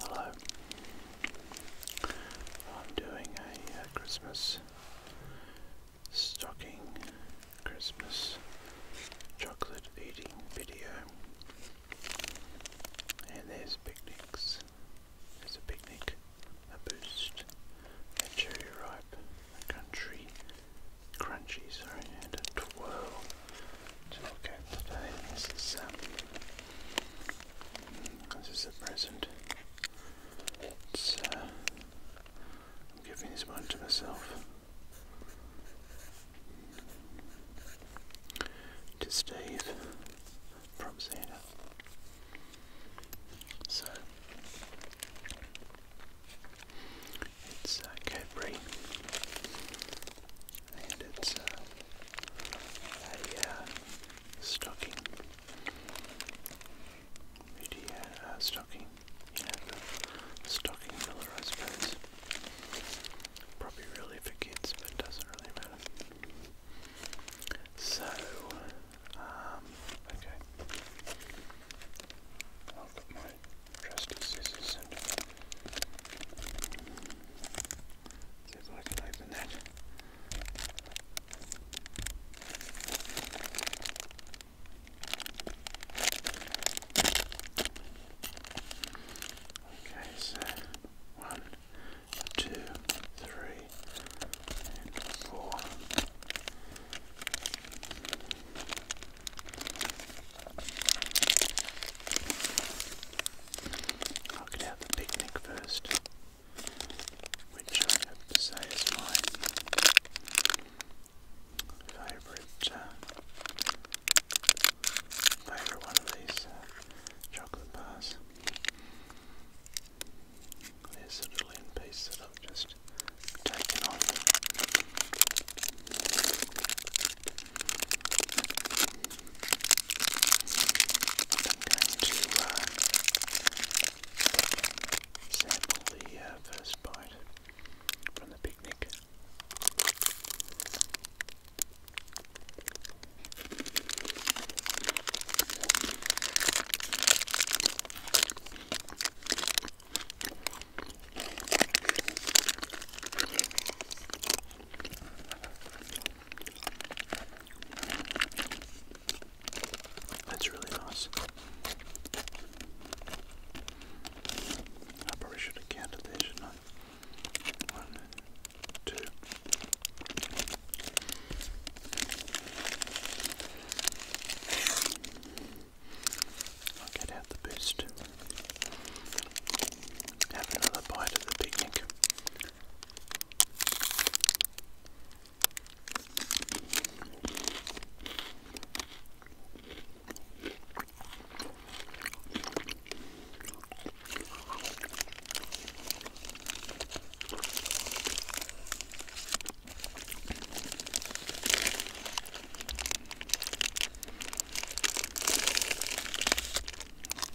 Hello. I'm doing a uh, Christmas stocking, Christmas chocolate eating video. And there's picnics. There's a picnic, a boost, a cherry ripe, a country crunchy, sorry, and a twirl to This is um, this is the present. It's, uh, I'm giving this one to myself to Steve from Santa. So it's a uh, Cadbury and it's uh, a uh, stocking. Really, uh, stocking. You stocking filler, I suppose. Probably really for kids, but doesn't really matter. So, um, okay. I'll put my trusty scissors and if I can open that. Okay, so one, two, three, I'll get out the picnic first, which I have to say is my favourite, uh, favourite one of these uh, chocolate bars. There's a little end piece that I've just taken off to uh, sample the uh, first bite from the picnic. That's really nice. I probably should have counted there, shouldn't One, two. I'll get out the boost. Have another bite at the picnic.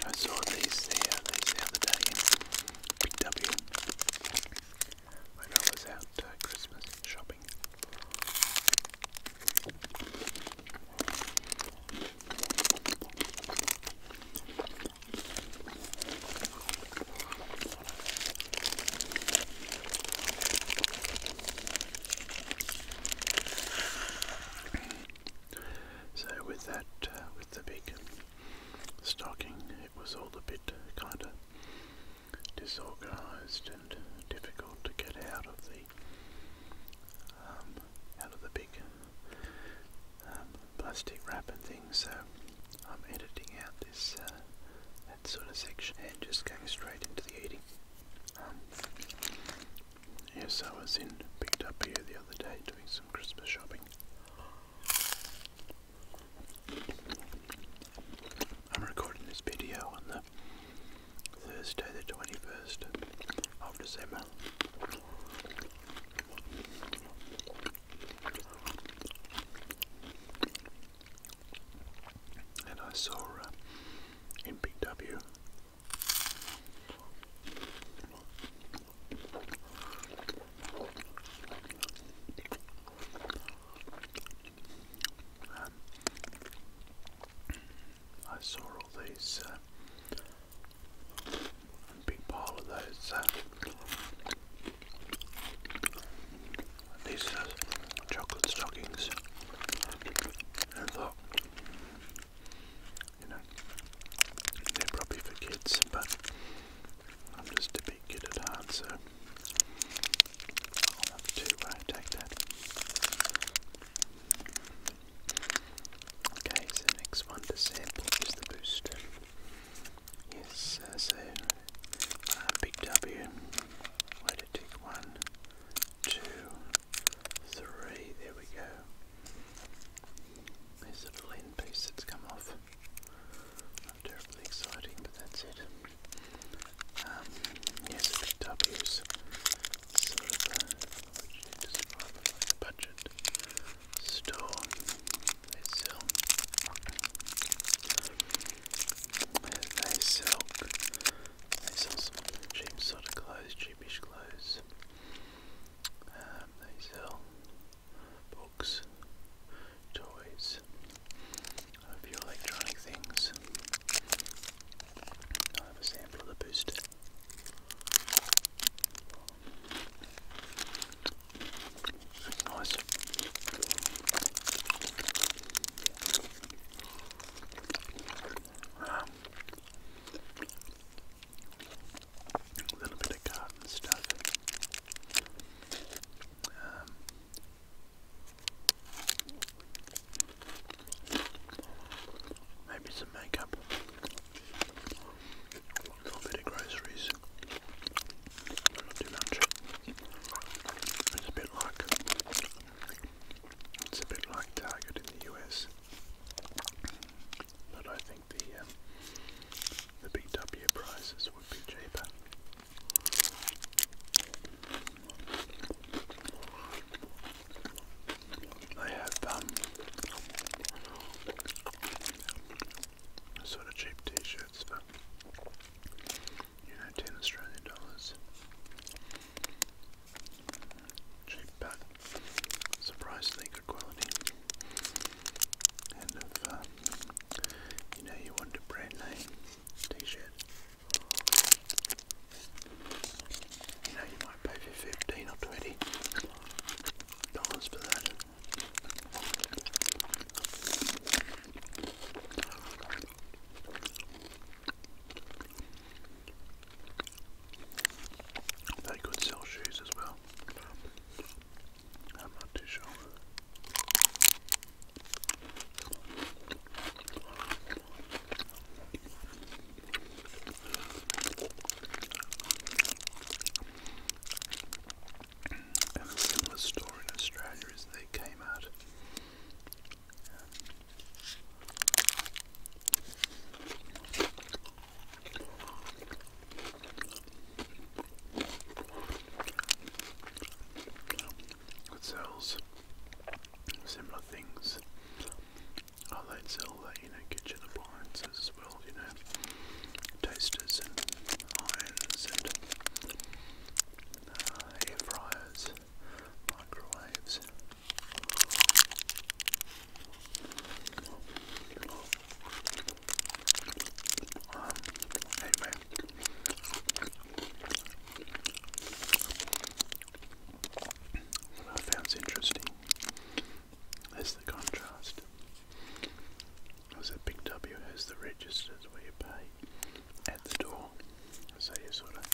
I saw these the, uh, these the other day in Big W when I was out uh, Christmas shopping. So with that, uh, with the big stocking, it was all a bit kind of disorganised and difficult to get out of the um, out of the big um, plastic wrap and things. So I'm editing out this uh, that sort of section and just going straight into the eating. Um, Yes, I was in picked up here the other day doing some Christmas shopping. I'm recording this video on the Thursday the 21st of December. And I saw uh, um, I saw all these uh, big pile of those. Uh, these uh, chocolate stockings, you know, they're probably for kids, but I'm just a big kid at heart, so i uh, take that. Okay, so next one to sample is the boost. Yes, uh, so uh, big W. one, two, three. There we go. There's a little end piece that's come off. Not terribly exciting, but that's it. Um, yes, sort of budget store. They sell, they sell, they sell some cheap sort of clothes, cheap cheapish clothes. Um, they sell books, toys, a few electronic things. i have a sample of the boost. Nice a little bit of garden stuff. Um, maybe some makeup. A little bit of groceries. Not too much. It's a bit like it's a bit like Target in the US. But I think the um, the BW prices would be cheaper. They have um, sort of cheap t-shirts for you know ten Australian dollars cheap but surprisingly good quality. And if uh, you know you want a brand name t-shirt, you know you might pay for fifteen or twenty dollars for that. They could sell shoes as well. I'm not too sure. And a similar store in Australia is the Kmart. It sells similar things. Oh, they sell you know, kitchen appliances as well, you know, tasters and irons and uh, air fryers, microwaves. That's interesting is the contrast. As a big W has the registers where you pay at the door. So you sort of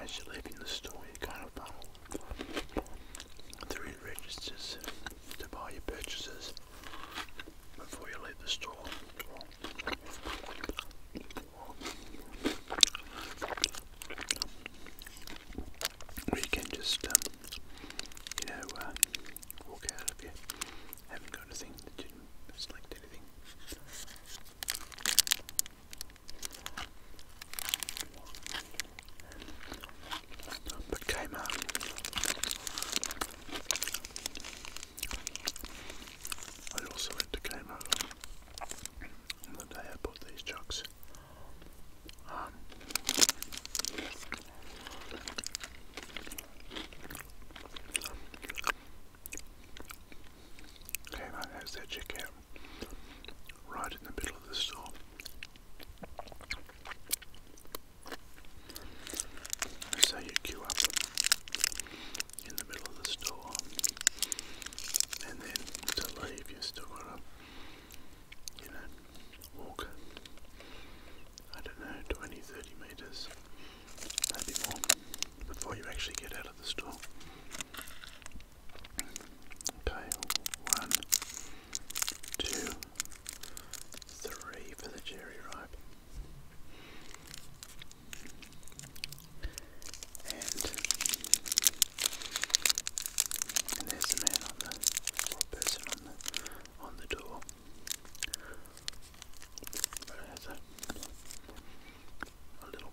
as you live in the store, you kind of funnel um, through the registers to buy your purchases before you leave the store. Or you can just, um, you know, uh, walk out of here, haven't got a didn't anything. But came I also went to Kmart the day I bought these jugs. Kmart has their checkout right in the middle of the store. So you queue up in the middle of the store, and then to leave, you still you know, walk. I don't know, 20, 30 meters maybe more, before you actually get out of the store. Okay, one, two, three for the cherry ripe. And, there's a man on the person on the on the door. But it a little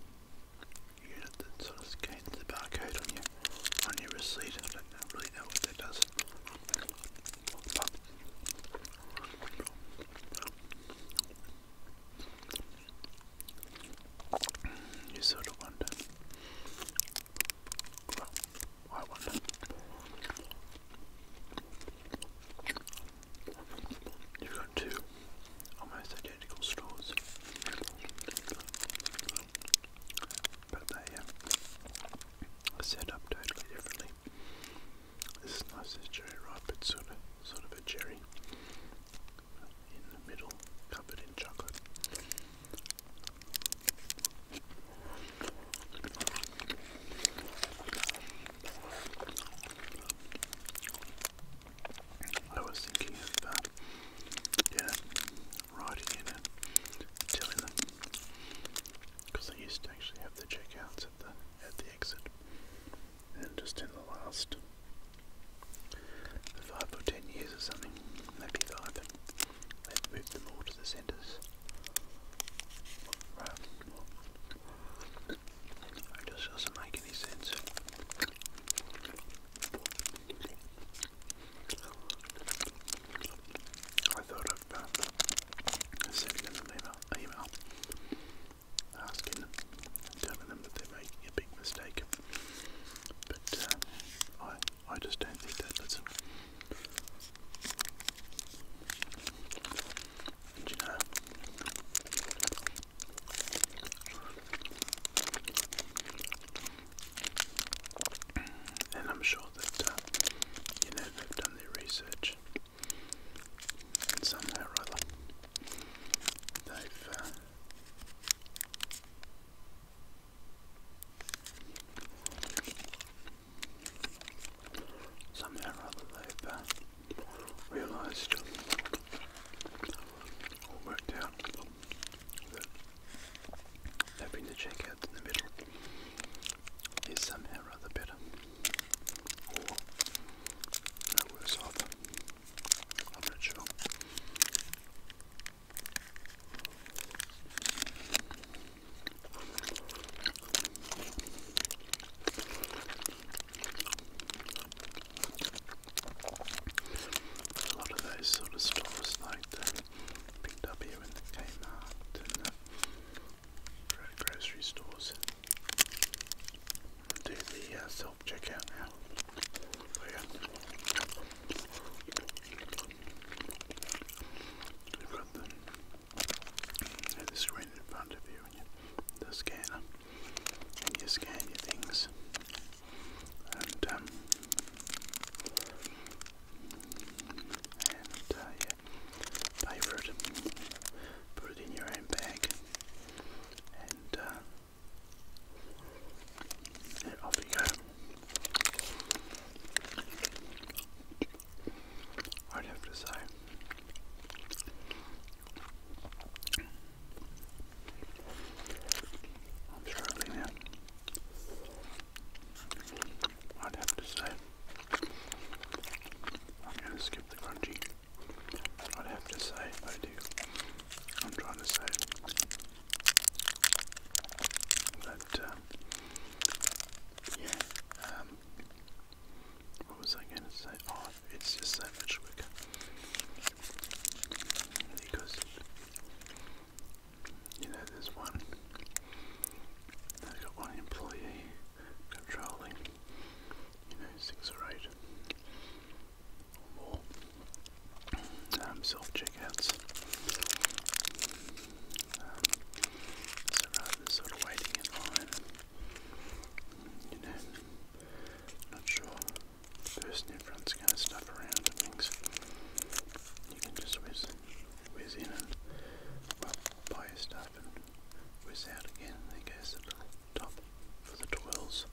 unit that sort of scans the barcode on your on your receipt. I don't really know what that does. But you sort of wonder. Well, I wonder. You've got two almost identical straws. But they um, are set up totally differently. This nice as cherry ripe, it's sort of, sort of a cherry in the middle, covered in chocolate. I was thinking of, that, uh, yeah, writing in telling them, because they used to actually have the checkouts at the at the exit, and just in the last five or ten years or something, maybe five, moved them all to the centres. Um, it just doesn't make any sense. I thought I'd uh, send them an email, asking them, that they're a big mistake. But uh, I, I just don't think that that's. Do you And I'm sure that, uh, you know, they've done their research. somehow or they've uh, somehow or other they've uh, realised or worked out having the checkout in the middle is somehow or better or no worse either. I'm not sure. A lot of those sort of stores like the Big and the Kmart and the grocery stores do the uh, self checkout now. But We've there's screen in front of you and you, the scanner, you scan your things. And, um, uh, yeah, pay for it, put it in your own and uh, off you go. I'd have to say I'm struggling I'd have to say, I'm going to skip the crunchy. I'd have to say, I do. I'm trying to say that, uh, yeah, um, what was I going to say? Oh, it's just so much quicker because you know there's one. I've got one employee controlling, you know, six or eight or more um, self-checkouts. Um, so rather waiting line you know, not sure the person in front's going to stuff around and things. You can just whiz, whiz in and, well, buy your stuff and whiz out again. There goes the little top for the twirls.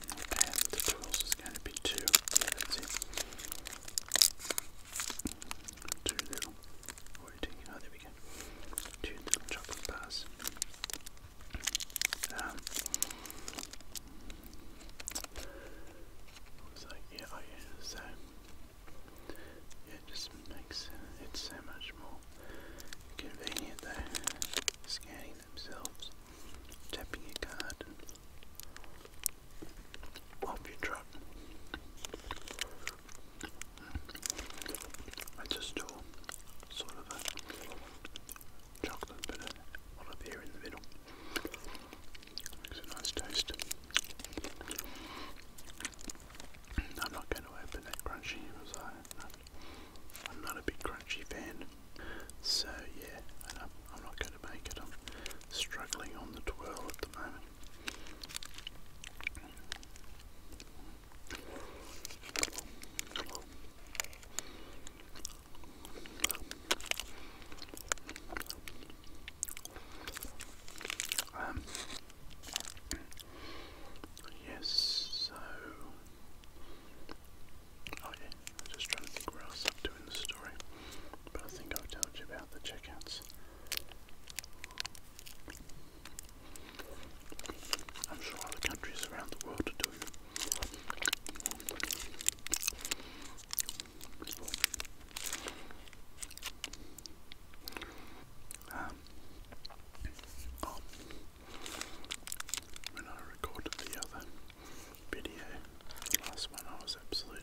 And the twirls is going to be two. Let's see. Two little, Oh, there we go. Two little chocolate bars. Um, oh, yeah, so, yeah, it just makes it so much more convenient than scanning themselves, tapping your card, off your truck. I just do sort of a chocolate bit of olive here in the middle. Makes a nice taste. I'm not going to open that crunchy is I, I'm not a big crunchy fan. So yeah, I'm not going I'm struggling on the twirl at the moment. Um, yes, so, oh yeah, I'm just trying to think where else I'm doing the story, but I think I've told you about the checkouts. I'm sure other countries around the world are doing um, oh, when I recorded the other video, last one I was absolutely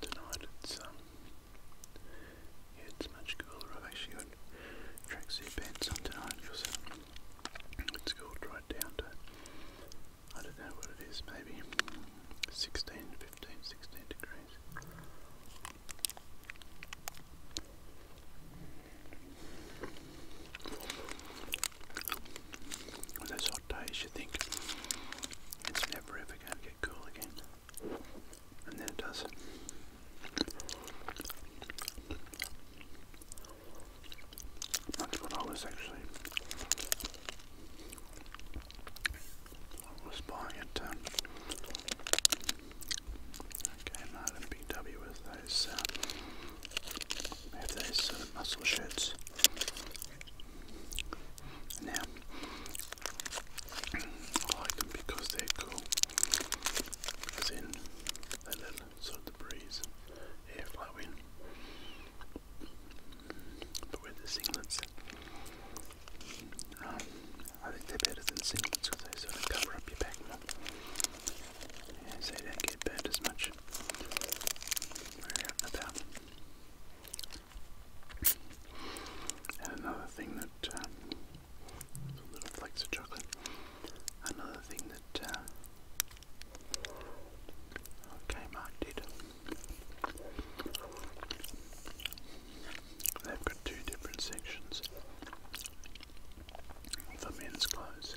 tonight it's um, it's much cooler. I've actually got tracksuit pants on tonight because it's cooled right down to I don't know what it is, maybe 16, 15, 16 degrees on those hot days you think it's never ever going to get cool again, and then it does. That's what I was actually. was buying um, okay, Martin and Big those. Uh, have those muscle shirts. Now, I like them because they're cool. Because then they let sort of breeze air flow But with the singlets, um, I think they're better than singlets because they sort of cover up your back more. so you don't get burnt as much. We're out and and another thing that um, little flakes of chocolate. Another thing that uh, Kmart did. They've got two different sections for men's clothes.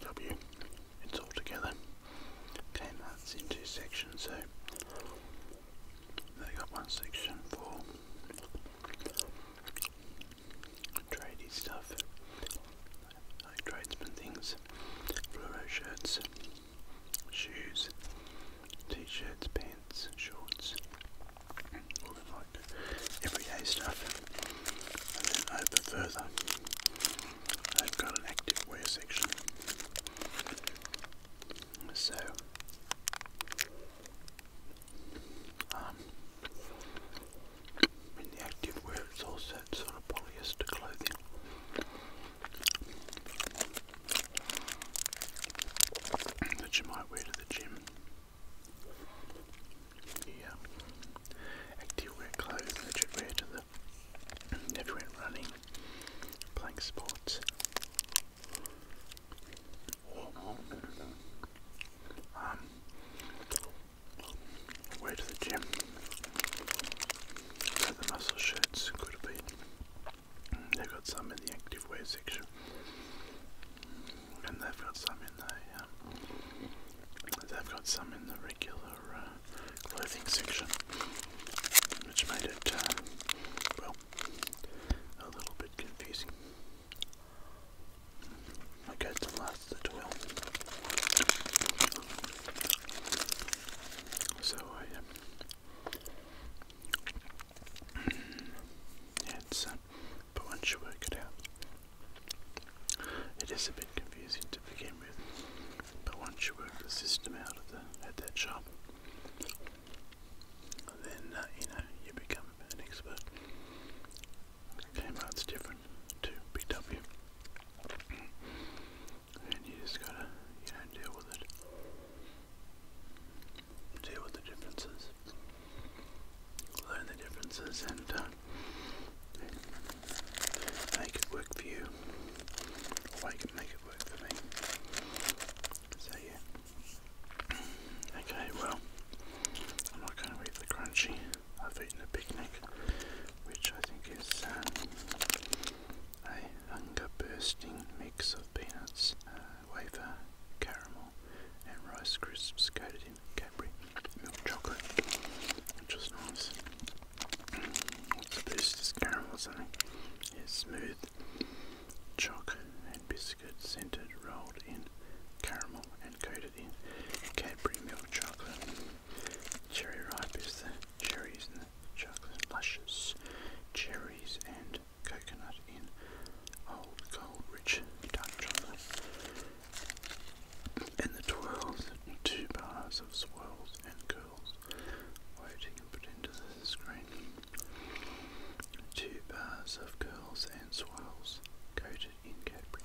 W it's all together. Okay, that's into sections, so they got one section for tradey stuff, like tradesman things, fluoro shirts, shoes, t-shirts, pants, shorts, all the like everyday stuff and then open further. They've got an active wear section. So, um, in the active wear, it's also sort of polyester clothing. That you might wear to the gym you active wear clothes that you wear to the if running, playing sports, or um, to the gym. the muscle shirts could have They've got some in the active wear section, and they've got some in the um, they've got some in the regular uh, clothing section, which made it, uh, well, a little bit confusing. I to last the oil. So I, um, yeah, uh, but once you work it out, it is a bit confusing to begin with, but once you work the system out at that shop, then uh, you know you become an expert. Kmart's different to BW, and you just gotta you know deal with it, deal with the differences, learn the differences, and uh, make it work for you, or I can make it work for me. So yeah. Okay, well, I'm not going to eat the crunchy. I've eaten a picnic, which I think is um, a hunger-bursting mix of peanuts, uh, wafer, caramel, and rice crisps coated Cadbury milk chocolate, which nice. this? This caramel or something? Yeah, smooth choc and biscuit scented, rolled in caramel and coated in Cadbury milk chocolate. Cherry ripe is the cherries and the chocolate luscious cherries and coconut in old gold rich dark chocolate and the twirls, two bars of swirls and curls, waiting and put into the screen. Two bars of curls and swirls, coated in Cadbury,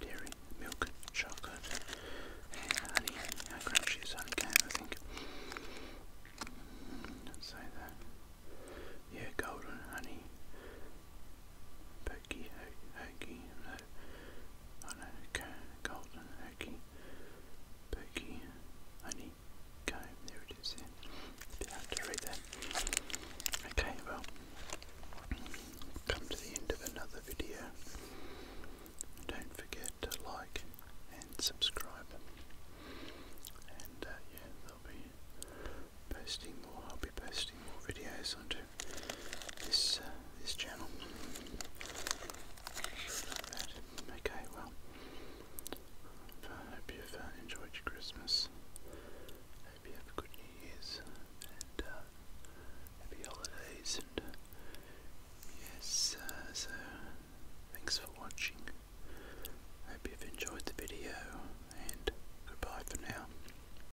dairy, milk, and chocolate, and honey. How I think. Mm, let say that. Yeah, golden honey. Pokey Hokey, no, oh no, go, Golden Hokey, Pokey there it is, yeah. to read that. Okay, well, come to the end of another video. Don't forget to like and subscribe. And uh, yeah, they'll be posting more. I'll be posting more videos onto this uh, this channel. Okay, well, I hope you've uh, enjoyed your Christmas. hope you have a good New Year's and uh, happy holidays. And yes, so thanks for watching. hope you've enjoyed the video and goodbye for now.